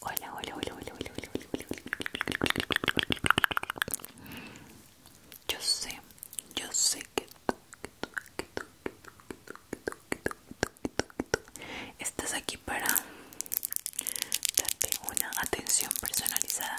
Hola, hola, hola, hola, hola, Yo sé, yo sé que estás aquí para darte una atención personalizada.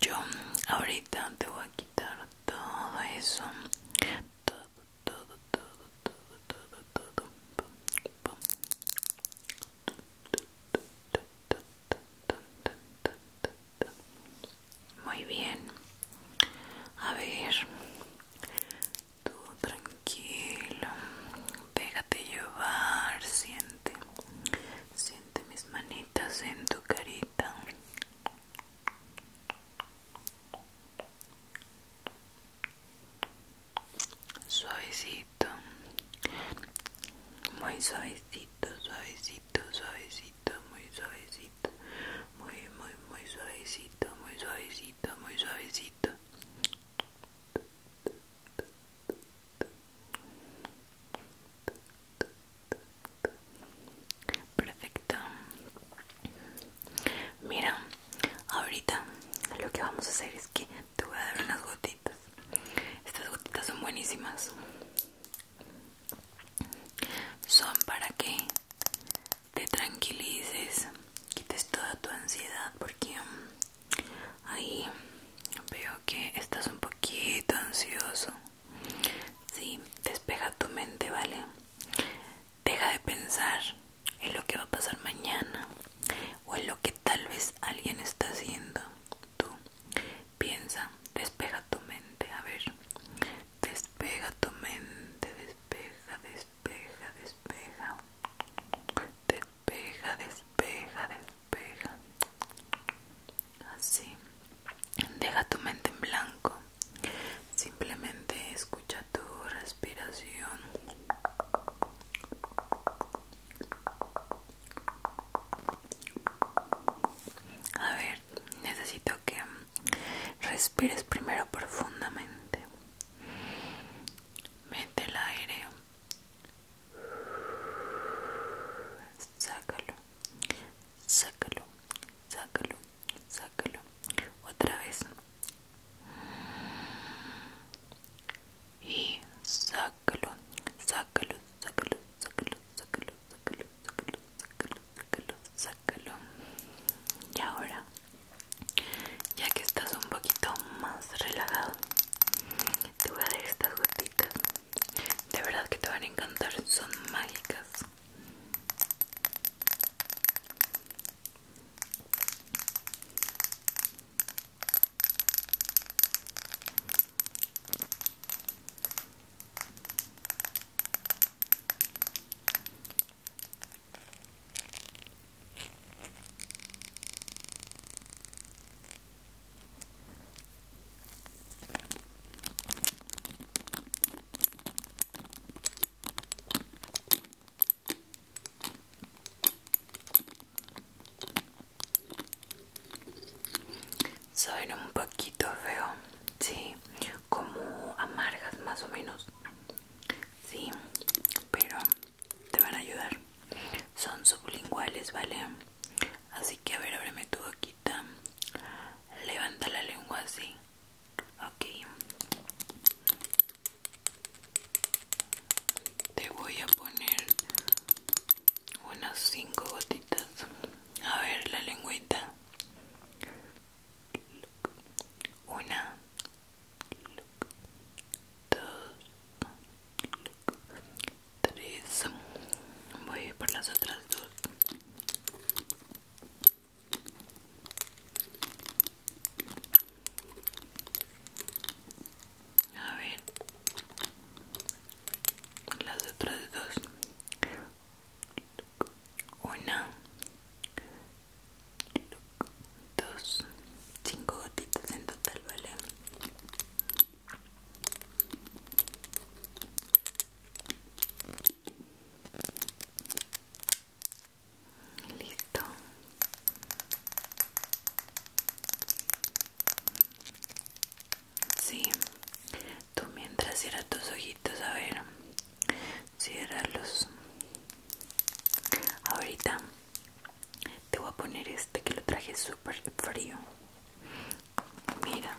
yo ahorita te voy a quitar todo eso todo todo todo todo todo Muy bien. A ver. Tú tranquilo. Déjate llevar. Siente. Siente mis manitas en tu carita. Suavecito. Muy suavecito, suavecito, suavecito, muy suavecito. Muy, muy, muy suavecito, muy suavecito, muy suavecito. Perfecto. Mira, ahorita lo que vamos a hacer es que te voy a dar unas gotitas. Estas gotitas son buenísimas. Son para que te tranquilices, quites toda tu ansiedad porque um, ahí Veo que estás un poquito ansioso. Sí, despega tu mente, ¿vale? Deja de pensar en lo que va a pasar mañana o en lo que tal vez alguien está haciendo. Tú piensa, despega tu mente, a ver. Despega tu mente, despega despeja, despeja. Despeja, despeja, despeja pega así deja tu mente en blanco simplemente escucha tu respiración a ver necesito que respires primero profundamente mete el aire sácalo, sácalo, sácalo, sácalo, otra vez y sácalo, sácalo, sácalo, sácalo, sácalo, sácalo, sácalo, sácalo, sácalo, sácalo. Y ahora, ya que estás un poquito más relajado, te voy a dar estas gotitas de verdad que te van a encantar son mágicas soy un poquito feo, sí, como amargas más o menos, sí, pero te van a ayudar son sublinguales, ¿vale? Así que a ver, ábreme tu boquita. Levanta la lengua así. Ok. Te voy a poner unas cinco gotitas. A ver, la lengüita. Una. Dos tres voy por las otras dos a ver las otras dos una dos cinco gotitas en total vale Listo. Sí. Tú mientras cierras tus ojitos, a ver. los Ahorita te voy a poner este que lo traje Frio frío mira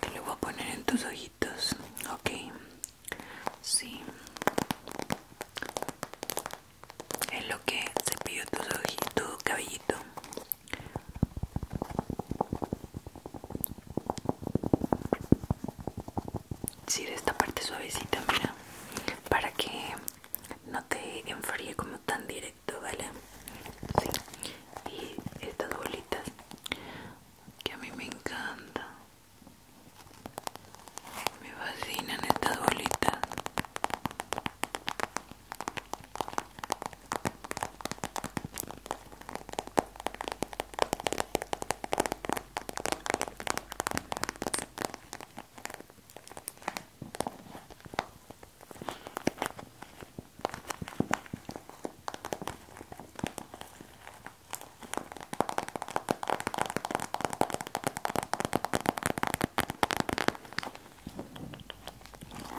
te lo voy a poner en tus ojitos ok sí es lo que se a tus ojitos tu cabellito Si esta parte suavecita, mira, para que no te enfríe como tan directo, ¿vale? Sí. Y estas bolitas que a mí me encantan. Me fascinan estas bolitas.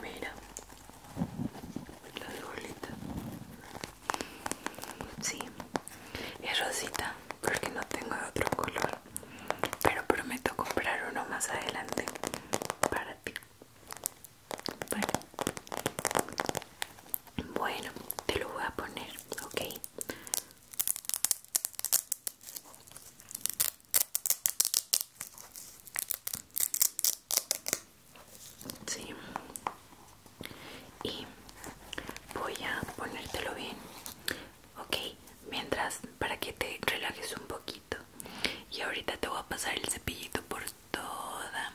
Mira las bolitas. Sí, es rosita porque no tengo otro color pero prometo comprar uno más adelante para ti. Bueno, te lo voy a poner, ¿ok? Sí. Y voy a ponértelo bien ok mientras para que te relajes un poquito y ahorita te voy a pasar el cepillito por toda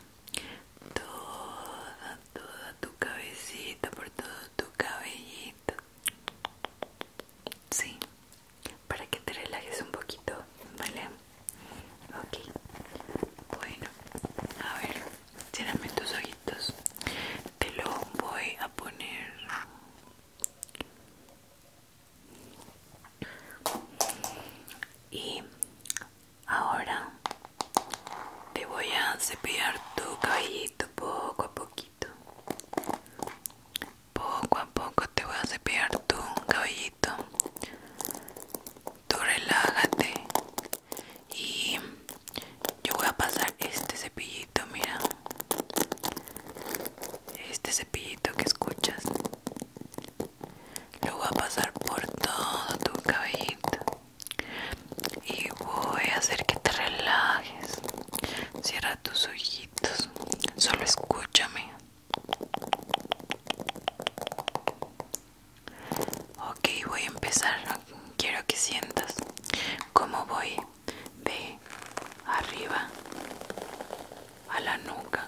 toda toda tu cabecita por todo tu cabellito sí para que te relajes un poquito vale ok bueno a ver cierrame tus ojitos te lo voy a poner y ahora te voy a cepillar tu cabellito poco a poquito poco a poco te voy a cepillar tu cabellito tú relájate y yo voy a pasar este cepillito mira. Este cepillito que escuchas. Lo voy a pasar por todo tu cabellito. Y voy a hacer que te relajes. Cierra tus ojitos. Solo escúchame. Ok, voy a empezar. Quiero que sientas cómo voy de arriba a la nuca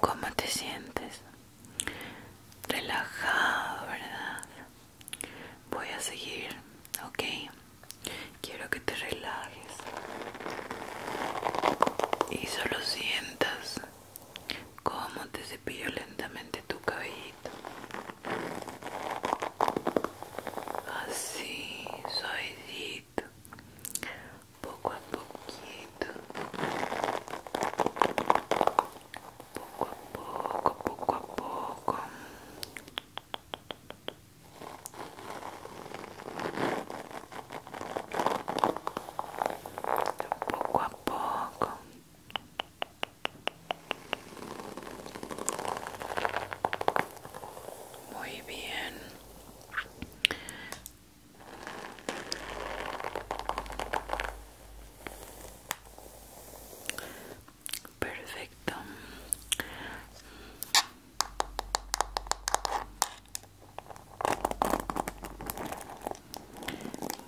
¿Cómo te sientes? Relajado, ¿verdad? voy a seguir, ok. Quiero que te relajes y solo sientas cómo te cepillo lentamente tu cabellito. Así, suavecito, poco a poquito, poco a poco, poco a poco. Poco a poco. Muy bien. Perfecto.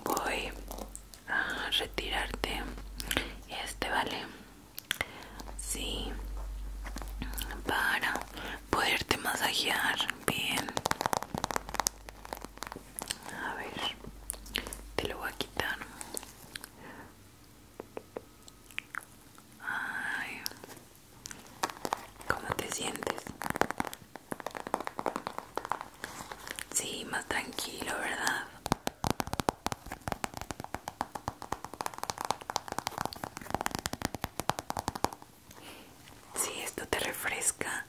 Voy a retirarte este, ¿vale? Sí. Para poderte masajear bien. A ver, te lo voy a quitar. ¿cómo te sientes? Sí, más tranquilo, ¿verdad? Sí, esto te refresca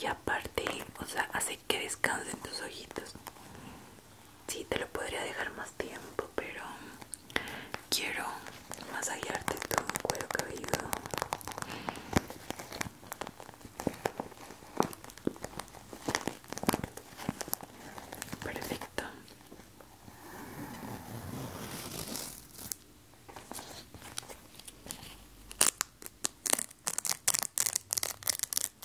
y aparte, o sea, hace que descansen tus ojitos. Sí, te lo podría dejar más tiempo, pero quiero más masajearte tu cuero cabido. Perfecto.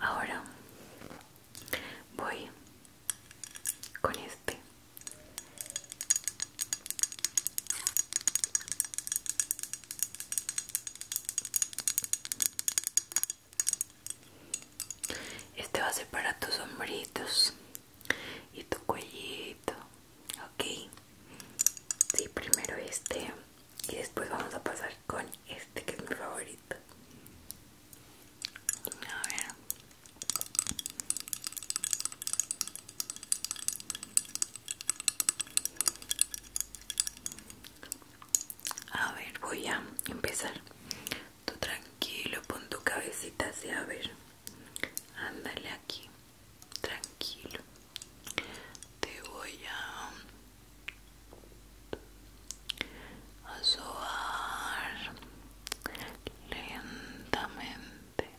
Ahora voy con este. Este va a ser para tus sombritos y tu cuellito ok sí primero este y después vamos a pasar con este que es mi favorito a ver a ver, voy a empezar. Tú tranquilo, pon tu cabecita así, a ver. Ándale aquí tranquilo te voy a, lentamente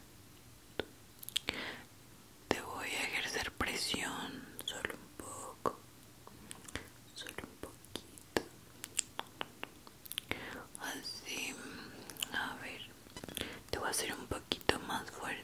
te voy a ejercer presión solo un poco solo un poquito así a ver te voy a hacer un poquito más fuerte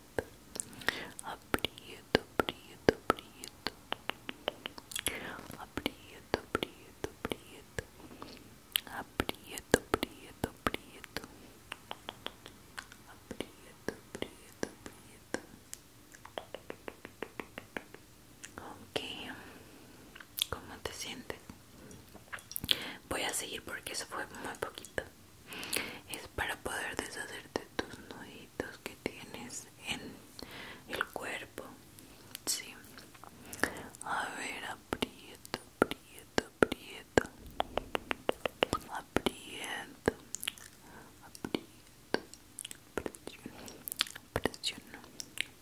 aprieto, aprieto, prieto aprieto, aprieto, Prieto aprieto, aprieto, Prieto aprieto, aprieto, Prieto Ok, ¿cómo te sientes? Voy a seguir porque eso fue muy poquito es para poder deshacerte tus nuditos que tienes en el cuerpo sí a ver aprieto aprieto aprieto aprieto aprieto presiono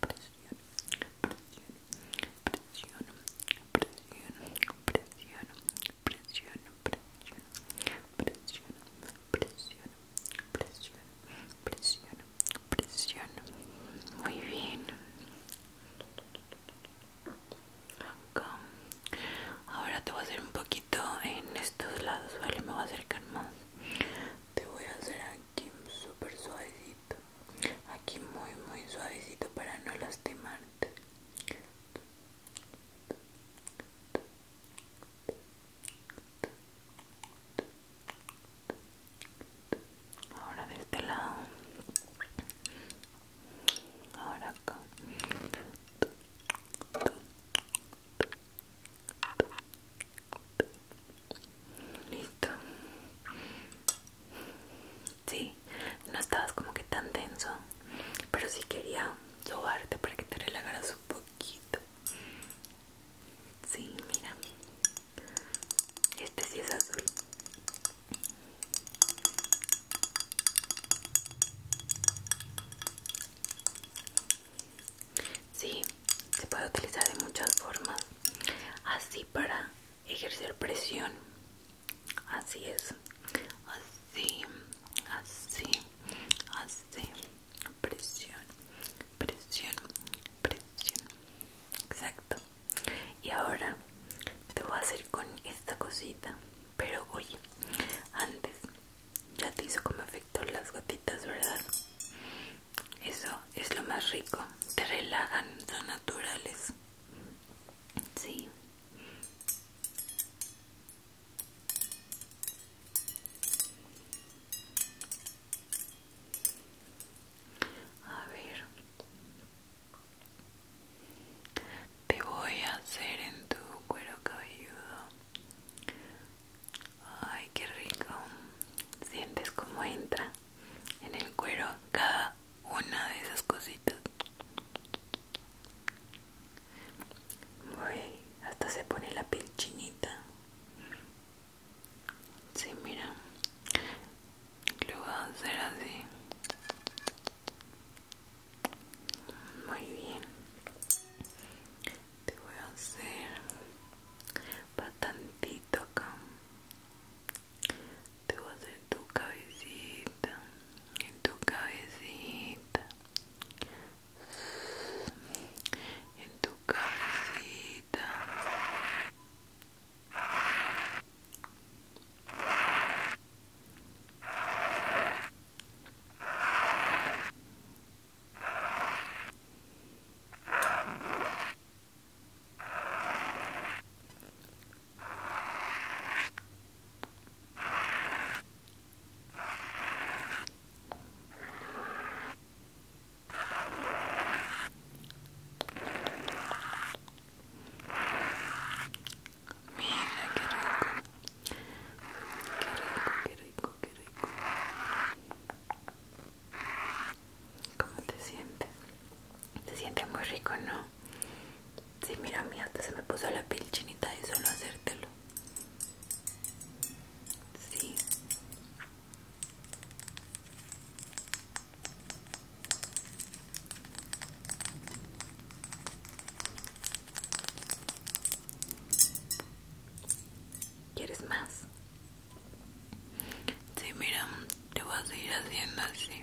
presiono presiono presiono presiono presiono presiono presiona, presiona, presiona, presiona, presiona, presiona. presiona Muy bien. Acá. Ahora te voy a hacer un poquito en estos lados, ¿vale? Me voy a acercar más. Te voy a hacer aquí súper suavecito. Aquí muy, muy suavecito para no lastimarte ahora de este lado ahora acá listo sí no estabas como que tan denso pero si quería llevarte para que te relagaras un poquito. Sí, mira. Este sí es azul. Sí, se puede utilizar de muchas formas. Así para ejercer presión. Así es así, así, así, presión, presión, presión, exacto. Y ahora te voy a hacer con esta cosita, pero oye, antes ya te hizo como efecto las gotitas, ¿verdad? Eso es lo más rico, te relajan, son naturales. Sí. A ver, te voy a hacer en tu cuero cabelludo. Ay, qué rico. Sientes cómo entra en el cuero cada una de esas cositas hasta se pone la piel chinita. Sí, mira. Lo voy a hacer así. Muy bien. Te voy a hacer bastantito acá. Te voy a hacer tu cabecita. En tu cabecita en tu cabecita Mira qué rico. Qué rico, qué rico, qué rico. ¿Cómo te sientes? Te sientes muy rico, ¿no? Sí, mira, mi se me puso la piel chinita y solo hacértelo. Sí. ¿Quieres más? Sí, mira, te voy a seguir haciendo así.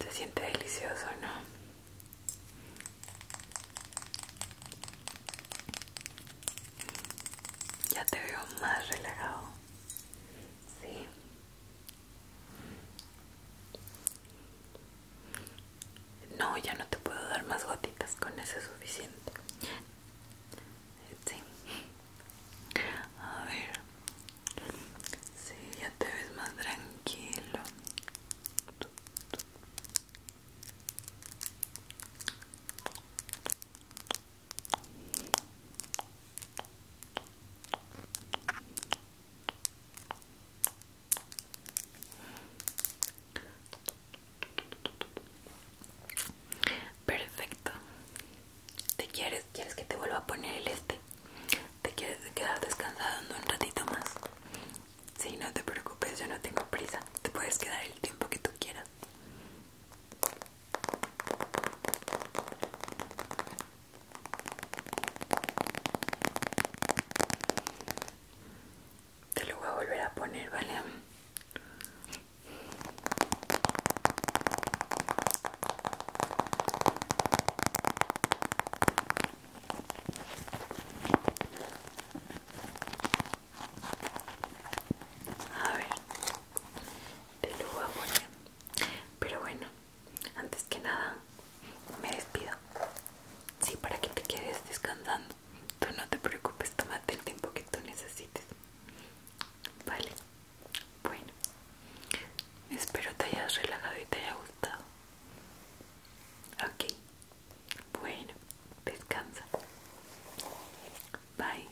Se siente delicioso, ¿no? Ya te veo más relajado. Sí. No, ya no te puedo dar más gotitas, con eso es suficiente. Sí. A ver. Sí, ya te ves más tranquilo. Perfecto. ¿Te quieres? ¿Quieres que te vuelva a poner el este? ¿Te quieres quedar descansando un ratito más? Sí, no te preocupes, yo no tengo prisa. Te puedes quedar el tiempo que tú quieras. Te lo voy a volver a poner, ¿vale? A ver, te lo voy a Pero bueno, antes que nada, me despido. Sí, para que te quedes descansando. Tú no te preocupes, tómate el tiempo que tú necesites. Vale. Bueno, espero te hayas relajado y te haya gustado. Ok, bueno, descansa. Bye.